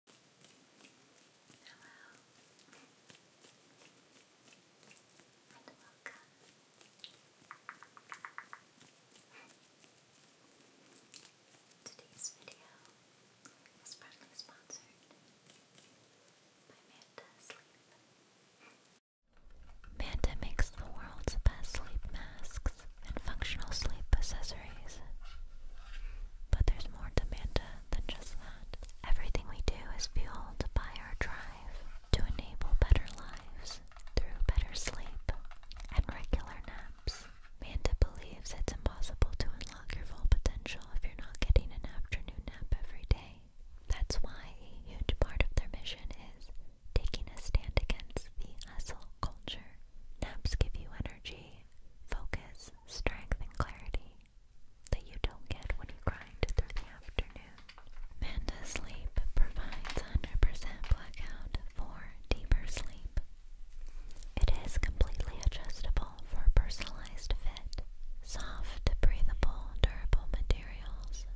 Hello and Today's video is partly sponsored by Manta Sleep. Manta makes the world's best sleep masks and functional sleep accessories. But there's more to Manta than just that. Everything we do is fueled by our drive to enable better lives through better sleep and regular naps. Manta believes it's impossible to unlock your full potential if you're not getting an afternoon nap every day. That's why a huge part of their mission is taking a stand against the hustle culture. Naps give you energy, focus, strength, and clarity that you don't get when you grind through the afternoon. Manda Sleep provides 100% blackout for deeper sleep. It is completely adjustable for personalized fit, soft, breathable, durable materials,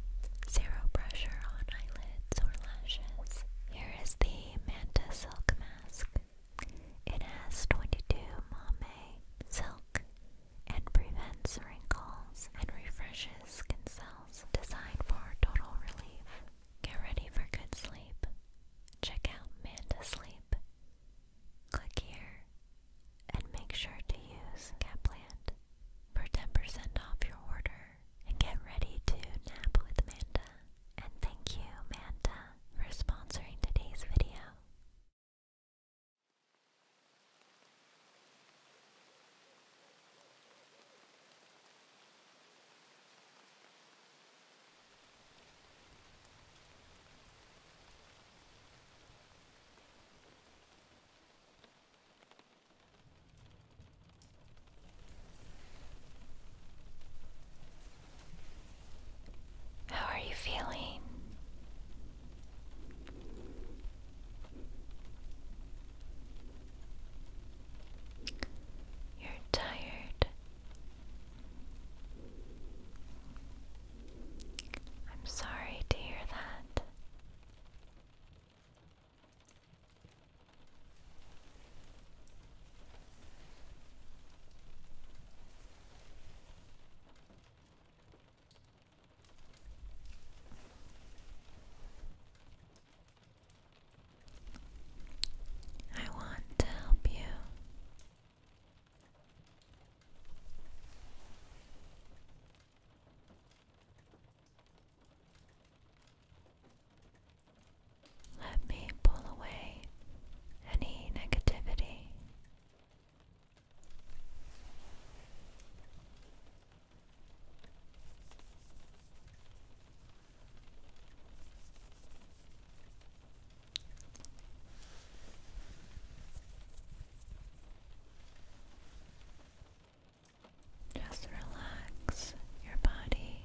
zero pressure on eyelids or lashes. Here is the Manta Silk Mask. It has 22 mame silk and prevents wrinkles and refreshes skin cells. Designed for total relief. Get ready for good sleep. Check out Manta Sleep. Click here and make sure to use Capland for 10% off your order and get ready to nap with Manta and thank you, Manta, for sponsoring today's video. How are you feeling? You're tired. I'm sorry to hear that. I want to help you. Let me pull away any negativity. Just relax your body.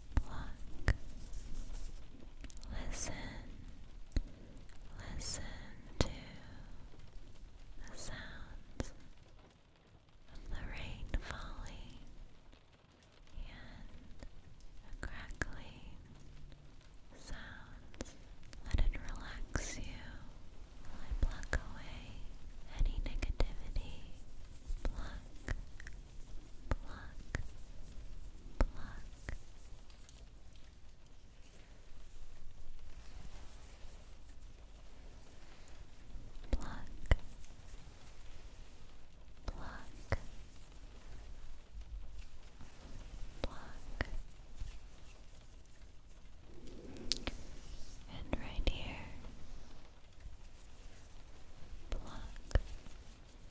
pluck. Listen, listen to the sounds of the rain falling and the crackling sounds. Let it relax you. I pluck away any negativity. Pluck, pluck, pluck. Pluck, pluck, pluck, and right here, pluck,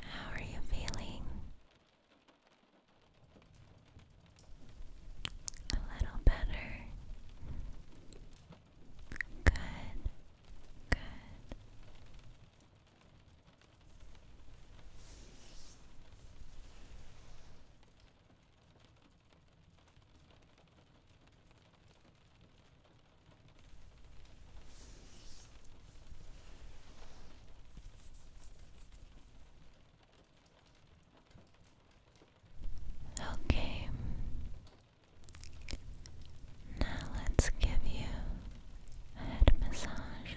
How are you feeling? A little better. Good. Good. Okay, now let's give you a head massage.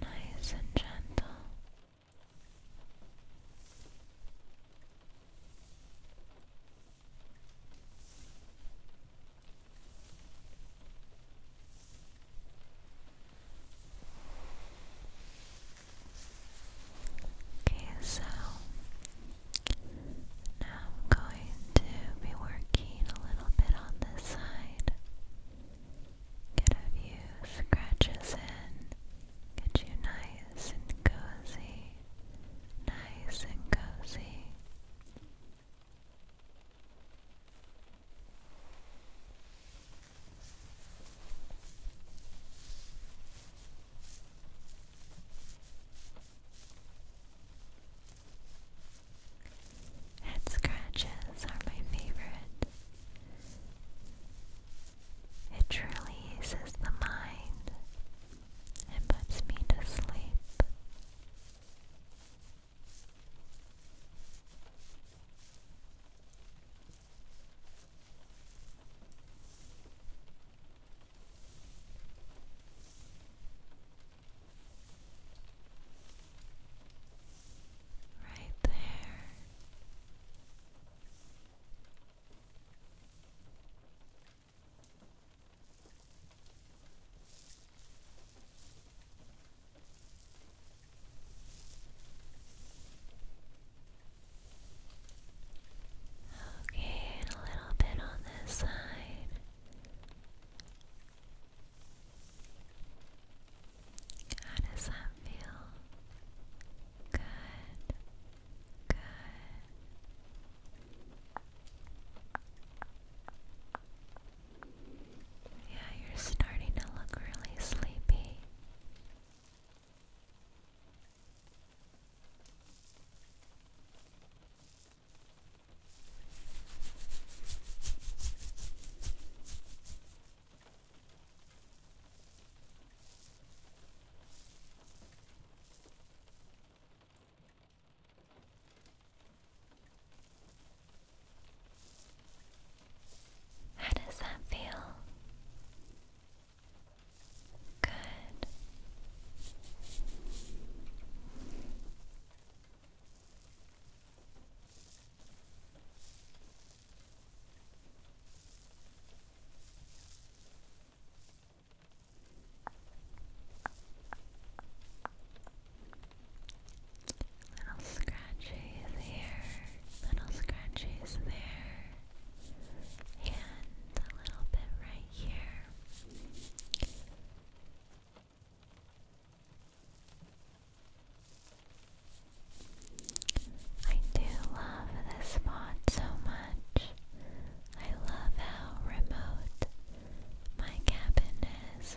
Nice and gentle. Okay, so now I'm going to be working a little bit on this side. Get a few scratches in, get you nice and cozy nice and cozy. Head scratches are my favorite. It truly eases the mind and puts me to sleep. Right there. Okay, and a little bit on this side. How does that feel? Good. Yeah, you're starting to look really sleepy. How does that feel? Good. Little scratches here, little scratches there, and a little bit right here. I do love this spot so much. I love how remote my cabin is.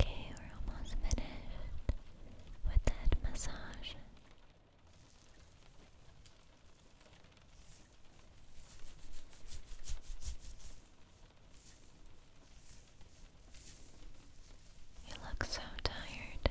Okay, we're almost finished with that massage. You look so tired.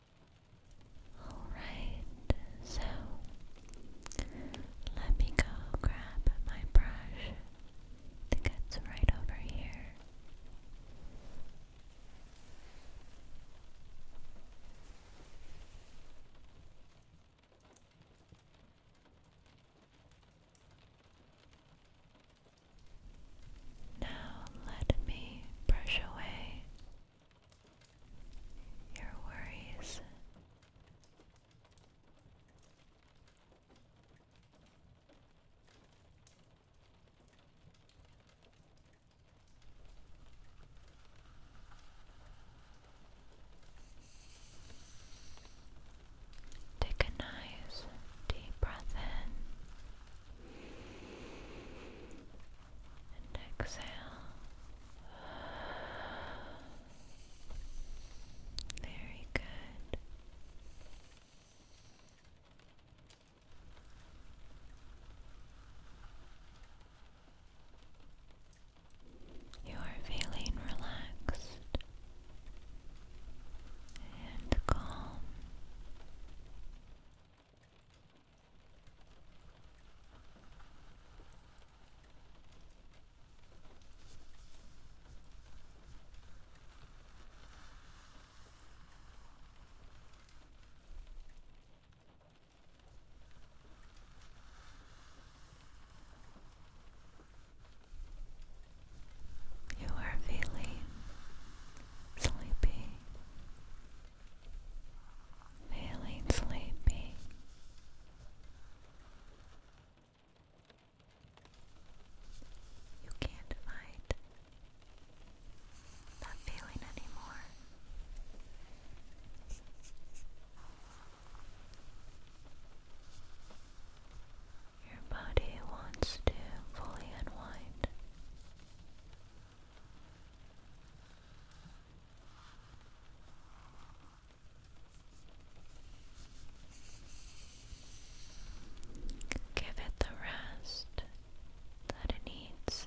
Alright, so let me go grab my brush. I think it's right over here. Now let me brush away your worries. Take a nice deep breath in and exhale. Very good. You are feeling relaxed and calm. You are feeling sleepy feeling sleepy. You can't fight that feeling anymore. Your body wants to fully unwind Give it the rest that it needs.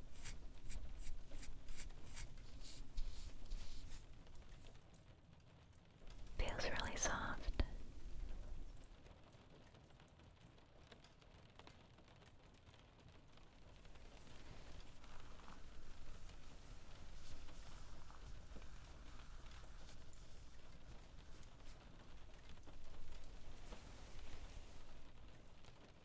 Feels really soft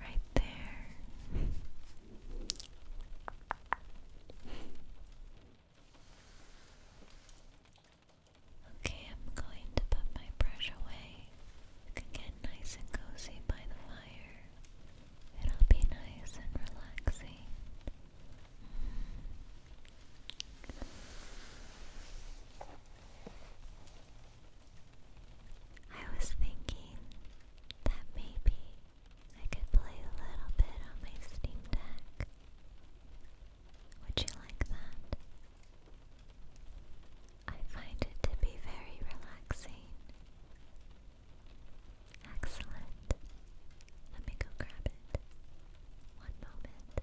Right there. Okay, I'm going to put my brush away. get nice and cozy by the fire. It'll be nice and relaxing. I was thinking that maybe I could play a little bit on my Steam Deck. Would you like that? I find it to be very relaxing. Excellent. Let me go grab it. One moment.